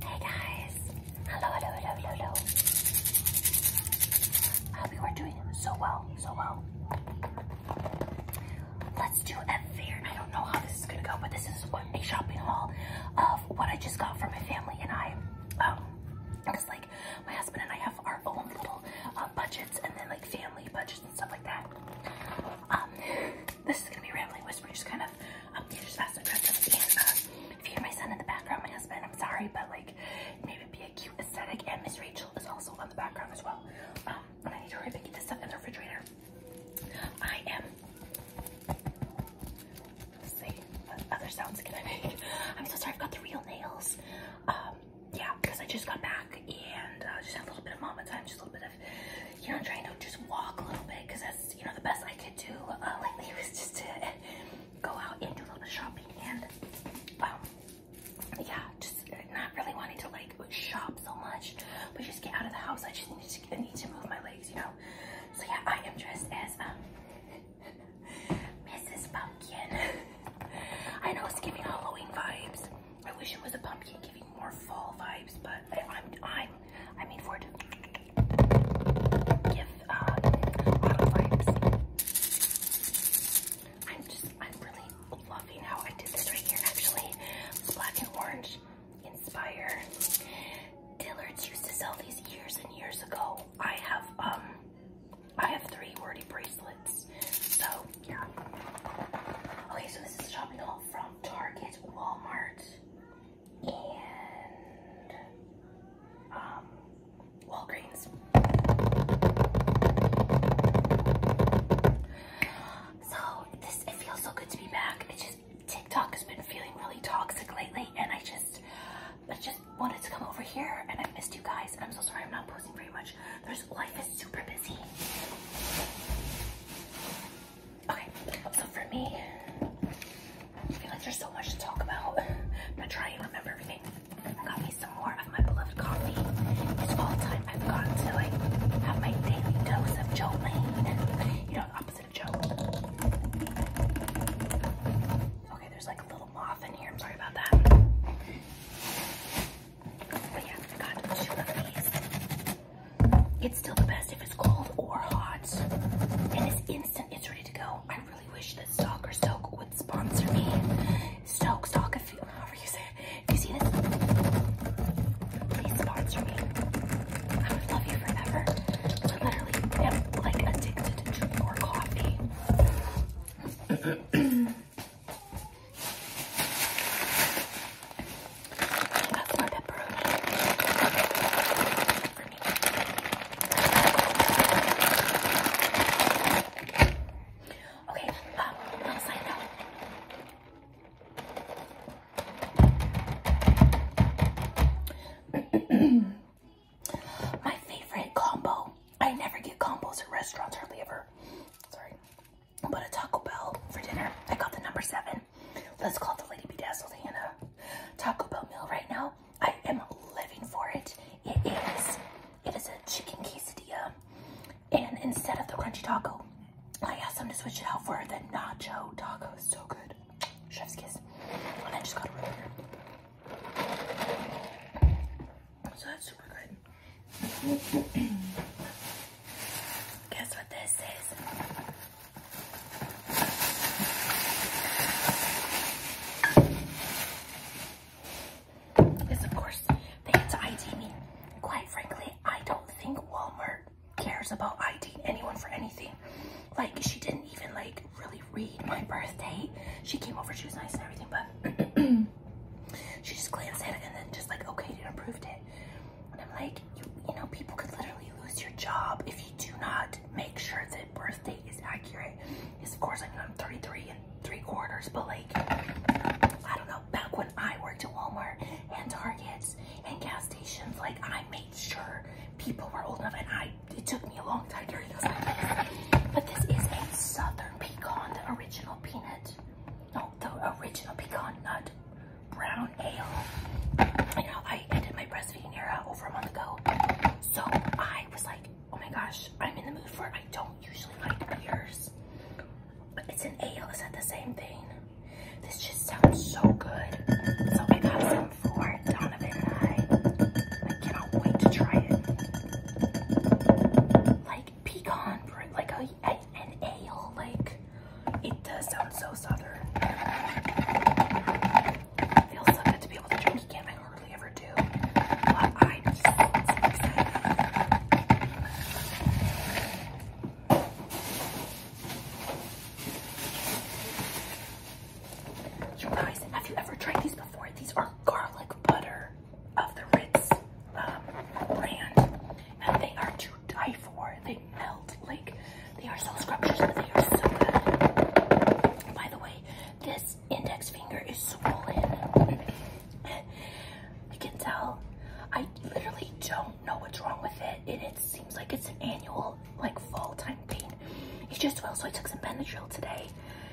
Hey guys! Hello, hello, hello, hello, hello. Hope you are doing so well, so well. Let's do a fair, I don't know how this is gonna go, but this is a shopping haul of what I just got for my family and I. Um, because like my husband and I have our own little uh, budgets and then like family budgets and stuff like that. Um, this is gonna be rambling whispering, just kind of um, uh, if you hear my son in the background, my husband, I'm sorry, but like it'd be a cute aesthetic. And Miss Rachel is also on the background as well. Um, I need to hurry up this stuff in the refrigerator. I am. Let's see what other sounds can I make? I'm so sorry. I've got the real nails. Um, yeah, because I just got back and uh, just had a little bit of mama time, just a little bit of you know, I'm trying to just walk a little bit because as you know, the best I could do uh, lately was just to go out and do a little bit of shopping and, um, yeah, just not really wanting to like shop so much, but just get out of the house. I just need to, need to move my legs, you know? So yeah, I am dressed as, um, Mrs. Pumpkin. I know it's giving Halloween vibes. I wish it was a pumpkin giving more fall vibes, but I, I'm, I'm, I for it give uh, I'm just, I'm really loving how I did this right here actually. Black and orange inspire. Dillard's used to sell these years and years ago. I have, um, I have three wordy bracelets. So, yeah. Okay, so this is shopping all from Target, Walmart, and um, Walgreens. So this it feels so good to be back. It just TikTok has been feeling really toxic lately, and I just I just wanted to come over here, and I missed you guys. I'm so sorry I'm not posting very much. There's life is super busy. Okay, so for me, I feel like there's so much to talk about. I'm gonna try and remember everything. I got me some more of my beloved coffee. It's all time I've gotten to like have my daily dose of Jolene. You know, opposite of Joe. Okay, there's like a little moth in here. I'm sorry about that. But yeah, I got two of it's still the best if it's cold or hot. And it's instant, it's ready to go. I really wish that Stock or Stoke would sponsor me. Stoke, Stock, if you, however you say it. see this? Please sponsor me. I would love you forever. I literally like addicted to more coffee. That's my Okay, um, I'll sign my favorite combo. I never get combos at restaurants hardly ever. Sorry. But a Taco Bell for dinner. I got the number seven. Let's call the lady Be bedazzled Hannah. Taco Bell meal right now. I am living for it. It is, it is a chicken quesadilla. And instead of the crunchy taco, I asked them to switch it out for the nacho taco. So good. Chef's kiss. And I just got a roller. So that's super good. Guess what this is? Is of course they ID me. Quite frankly, I don't think Walmart cares about IDing anyone for anything. Like she didn't even like really read my birthday. She came over, she was nice and everything, but she just glanced at it and then just like okay, it approved it. And I'm like, you, you know, people could literally lose your job if you do not make sure that birth date is accurate. Yes, of course, I mean, I'm 33 and three quarters, but like, I don't know, back when I worked at Walmart and Targets and gas stations, like, I made sure people were old enough, and I, it took me a long time to realize. times. But this is a southern pecan, the original peanut, no, the original pecan nut brown ale. You know, I ended my breastfeeding era over a month ago. So I was like, oh my gosh, I'm in the mood for it. I don't usually like beers. But it's an ale, is that the same thing? This just sounds so good. So I got some for Donovan and I. I cannot wait to try it. Like pecan, like a, an ale, like it does sound so southern. It feels so to be able to drink again. I hardly ever do. You guys, have you ever tried these before? These are garlic butter of the Ritz um, brand. And they are two die for. They melt like they are so scrumptious. They are so good. By the way, this index finger is swollen. You can tell. I literally don't know what's wrong with it. And it seems like it's an annual, like fall time pain. It just well. So I took some Benadryl today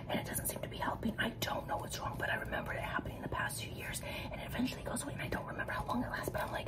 and it doesn't seem to be helping. I don't know what's wrong, but I remember it happening in the past few years and it eventually goes away and I don't remember how long it lasts, but I'm like,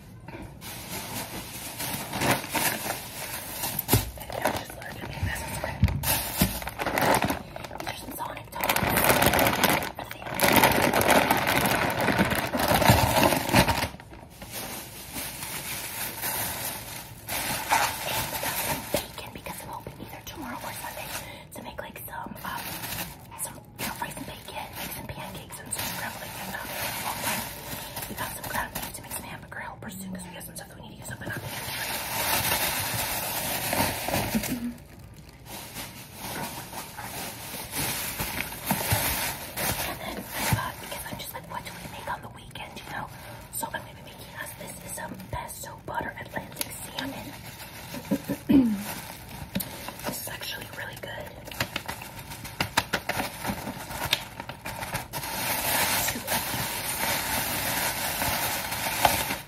I'm just allergic to this. There's some sonic dogs. And bacon because I'm hoping either tomorrow or Sunday to make like some um, some you got rice bacon, pancakes, and scrambled eggs and um, We got some ground beef to make some hamburger helpers soon because we got some stuff we need to use up And then I thought, because I'm just like, what do we make on the weekend, you know? So I'm going to be making us, this is um, pesto butter Atlantic salmon. This is actually really good.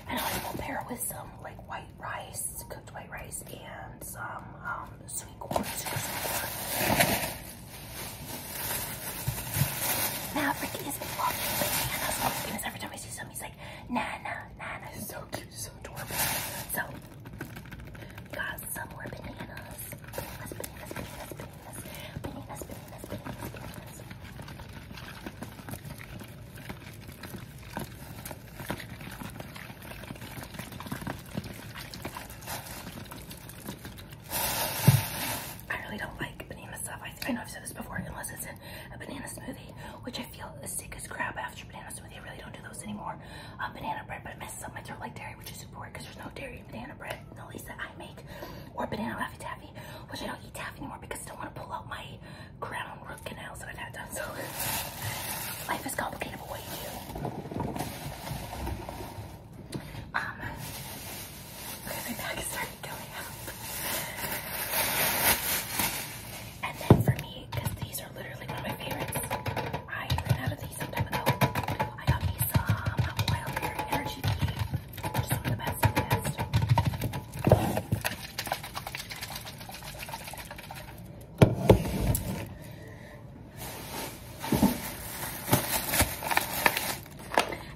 And I will pair with some like white rice, cooked white rice, and some um, sweet corn, super sweet corn. Maverick is vlogging bananas. Oh my goodness, every time I see some, he's like, Nana, Nana so I really don't like banana stuff. I know I've said this before, unless it's in a banana smoothie, which I feel as sick as crap after banana smoothie. I really don't do those anymore. Uh, banana bread, but it messes up my throat like dairy, which is important because there's no dairy in banana bread, at least that I make, or banana laffy which I don't eat taffy anymore because I don't want to pull out my crown root canals that i had done. So life is complicated, but what Um, okay, my back is starting going up. And then for me, because these are literally one of my favorites, I ran out of these some time ago. I got me some Wild Berry Energy Tea, which is one of the best the best. And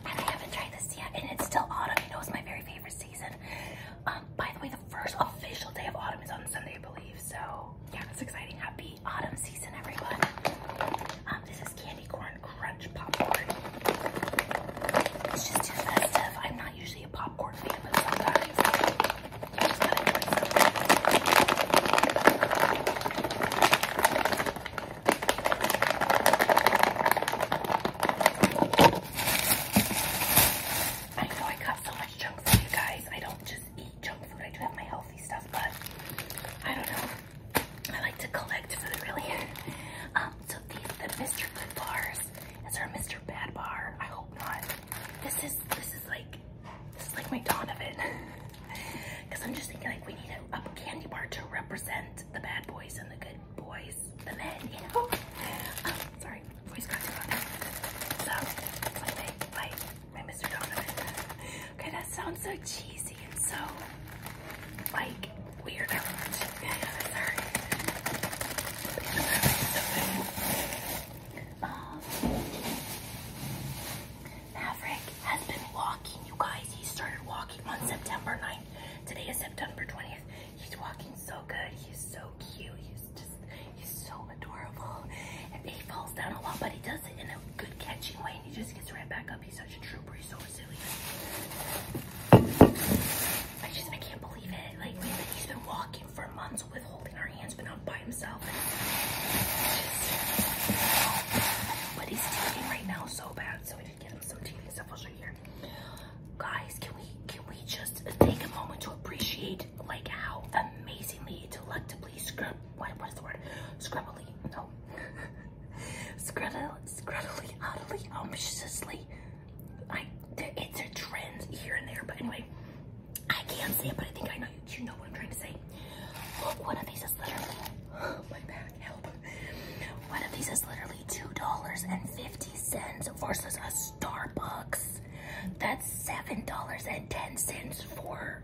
I haven't tried this yet, and it's still autumn. You know, it's my very favorite season. Um, by the way, the first official day of autumn is on Sunday, I believe. So yeah, it's exciting. Happy autumn season, everyone. Um, this is candy corn crunch popcorn. It's just too festive. I'm not usually a popcorn fan, but sometimes I know I got so much junk you guys. I don't eat junk food. I do have my healthy stuff, but I don't know. I like to collect food, really. Um, so these, the Mr. Good bars. Is there a Mr. Bad bar? I hope not. This is, this is like, this is like my Donovan. Because I'm just thinking like we need a, candy bar to represent the bad boys and the good boys, the men, you know? Um, sorry voice cracks about that. So when Okay, that sounds so cheesy and so like weird. Um, Maverick has been walking, you guys. He started walking on September 9th. Today is September 20th. He's walking so good. He's so He's just, he's so adorable. And he falls down a lot, but he does it in a good catching way and he just gets right back up. He's such a trooper. He's so resilient. I just, I can't believe it. Like, he's been walking for months with holding our hands, but not by himself. but he's teething right now so bad. So we did get him some teething stuff. I'll show you here. Guys, can we, can we just take a moment to appreciate like like how amazingly, delectably scrub what what is the word? Scrubbly, no. Scruddle scruddily, oddly, ominously. I it's a trend here and there, but anyway, I can't say it, but I think I know you, you know what I'm trying to say. Look, one of these is literally oh, my back help. One of these is literally two dollars and fifty cents versus a Starbucks. That's seven dollars and ten cents for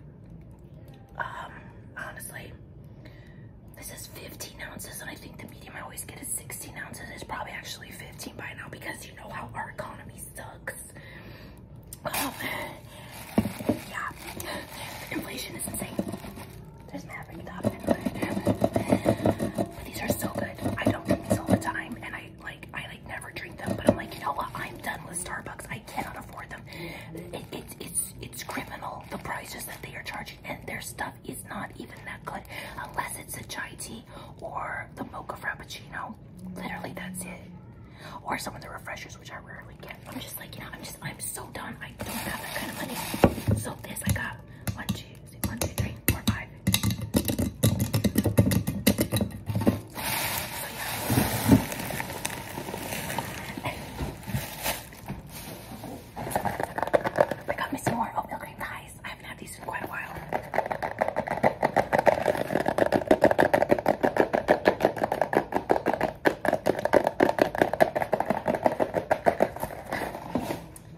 um, honestly. This is 15 ounces, and I think the medium I always get is 16 ounces. It's probably actually 15 by now because you know how our economy sucks. Um, yeah. Inflation is insane. There's Maverick Top. But these are so good. I don't eat these all the time, and I I like I like never drink them, but I'm like, you know what? I'm done with Starbucks. I cannot afford them. It, it's it's criminal the prices that they are charging, and their stuff is not even that good unless it's a chai tea or the mocha frappuccino. Literally, that's it. Or some of the refreshers, which I rarely get. I'm just like, you know, I'm just I'm so done. I don't have that kind of money. So this I got one, two, one, two, three, four, five. So yeah. I got me some more oatmeal cream pies. I haven't had these in quite a while.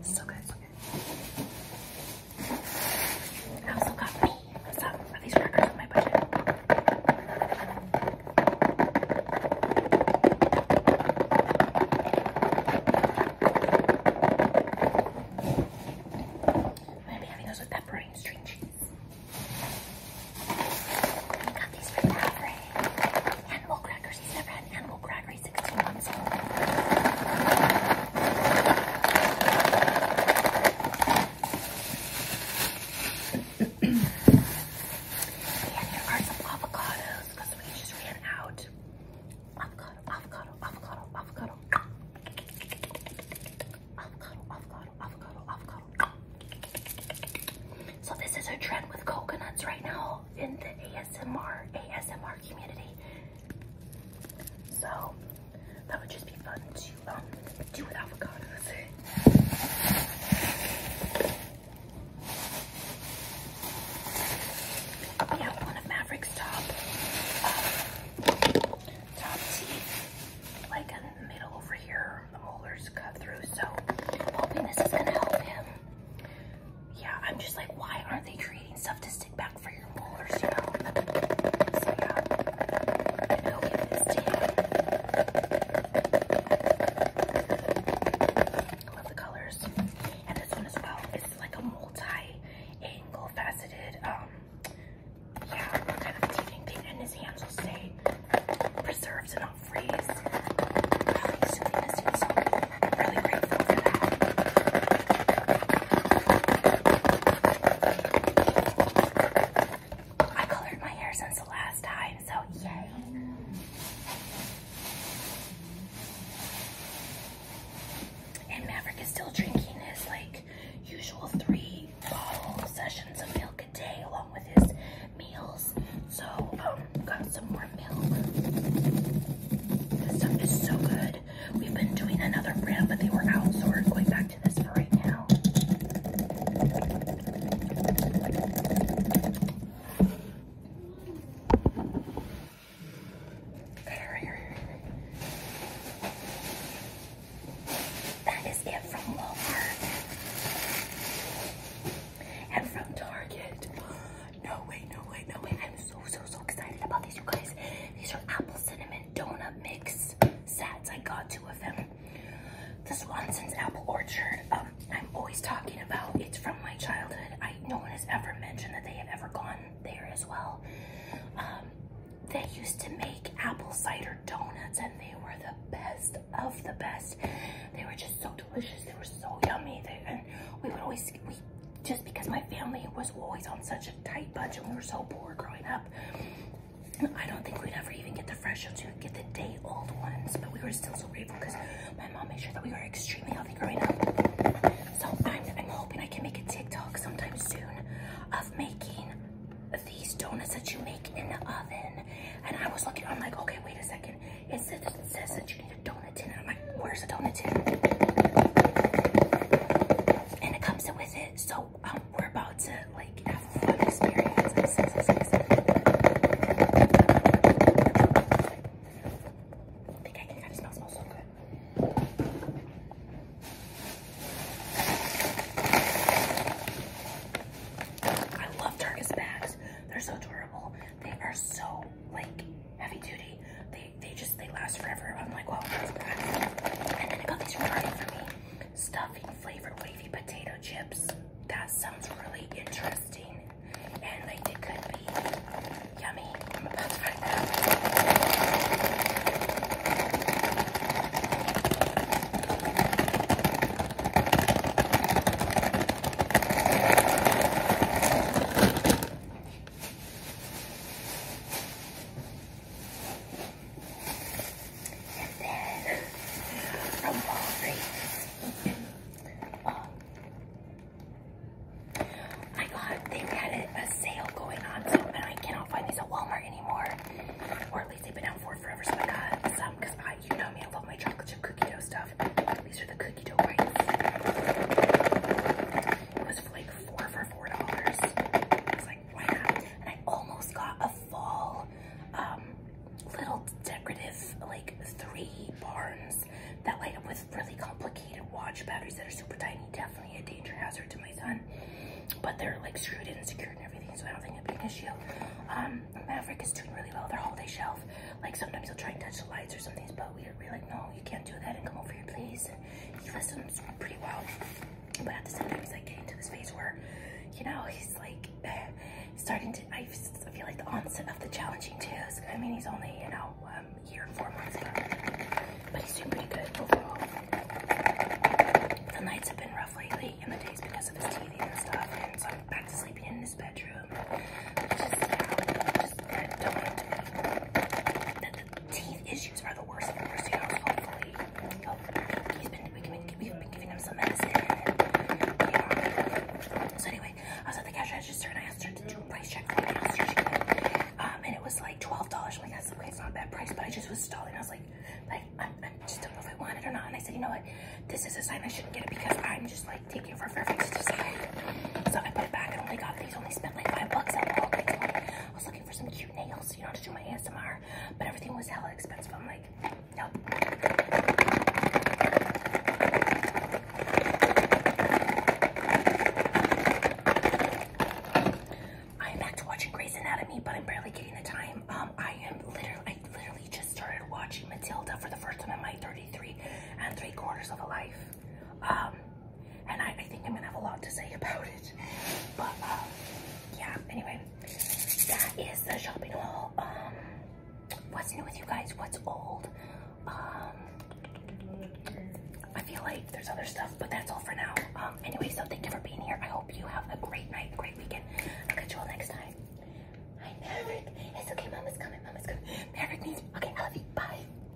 So good. I also got me some of these crackers on my budget. I'm gonna be having those with pepperoni and string cheese. I got these from Animal crackers. He's never had animal cracker. 16 months yeah, are some avocados because we just ran out. Avocado, avocado, avocado, avocado. Avocado, avocado, avocado, avocado. So this is a trend with coconuts right now in the ASMR, ASMR community. So that would just be fun to um, do with avocados. We one of Maverick's top uh, top teeth, like in the middle over here, the molars cut through. So I'm hoping this is gonna help him. Yeah, I'm just like, why aren't they creating stuff to stick i this tan. I love the colors. And this one as well is like a multi-angle faceted, um, yeah, kind of teething thing. And his hands will stay preserved and not freeze. really grateful I colored my hair since the last time, so yay. And Maverick is still drinking his like usual three bottle sessions of milk a day along with his meals. So um got some more milk. This stuff is so good. We've been doing another brand, but they were out, so we're going back to this for right now. That is it from Walmart and from Target. No way, no way, no way. I'm so, so, so excited about these, you guys. These are apple cinnamon donut mix sets I got two of them. The Swanson's Apple Orchard, um, I'm always talking about. It's from my childhood. I no one has ever mentioned that they have ever gone there as well. Um, they used to make apple cider donuts and they were the best of the best. They were just so delicious. They were so yummy. They, and we would always just because my family was always on such a tight budget. We were so poor growing up. I don't think we'd ever even get the fresh ones. We'd get the day old ones, but we were still so grateful because my mom made sure that we were extremely healthy growing up. So I'm, hoping I can make a TikTok sometime soon of making these donuts that you make in the oven. And I was looking, I'm like, okay, wait a second. It says, that you need a donut tin. And I'm like, where's the donut tin? and it comes with it. So um, we're about to like have a fun experience. I love Turkish bags. They're so durable. They are so like heavy duty they, just, they last forever. I'm like, wow. that's bad. And then I got these right for me. Stuffing flavored wavy potato chips. That sounds really interesting. And like, it could be yummy. I'm about to find out. And then from Walgreens, I got, they had a sale going on, so and I cannot find these at Walmart anymore, or at least they've been out for forever. So I got some because I, you know me, I love my chocolate chip cookie dough stuff. These are the cookie dough bites. It was I almost got a fall um, little decorative like three barns that light up with really complicated watch batteries that are super tiny. Definitely a danger hazard to my son. But they're like screwed in and secured and everything, so I don't think it'd be an issue. Um, Maverick is doing really well. Their holiday shelf. Like sometimes he'll try and touch the lights or something, but we're like, no, you can't do that and come over here, please he listens pretty well. But at the same time, he's like getting to this phase where, you know, he's like starting to. I feel like the onset of the challenging twos. I mean, he's only you know um, a year and four months, but, he's doing pretty good overall. The nights have been rough lately, and the days because of his teething and stuff. And so I'm back to sleeping in his bedroom teeth issues are the worst thing ever, so hopefully, oh, he's been, giving him some medicine. So anyway, I was at the cash register and I asked her to do a price check for my Um, and it was like $12. I'm like, that's not a bad price, but I just was stalling. I was like, like i just don't know if I want it or not. And I said, you know what, this is a sign I shouldn't get it because I'm just like taking it for a fair to decide. So I put it back and only got I was looking for some cute nails, you know, to do my ASMR, but everything was hella expensive. I'm like, nope. I am back to watching Grey's Anatomy, but I'm barely getting the time. Um, I am literally, I literally just started watching Matilda for the first time in my 33 and three quarters of a life. Um, and I, think I'm gonna have a lot to say about it. But um, yeah, anyway, that is the shopping haul. Um, what's new with you guys? What's old? Um, I feel like there's other stuff, but that's all for now. Um, anyway, so thank you for being here. I hope you have a great night, great weekend. I'll catch you all next time. Hi, Maverick. It's okay, Mama's coming, Mama's coming. Maverick needs, okay, I love you, bye.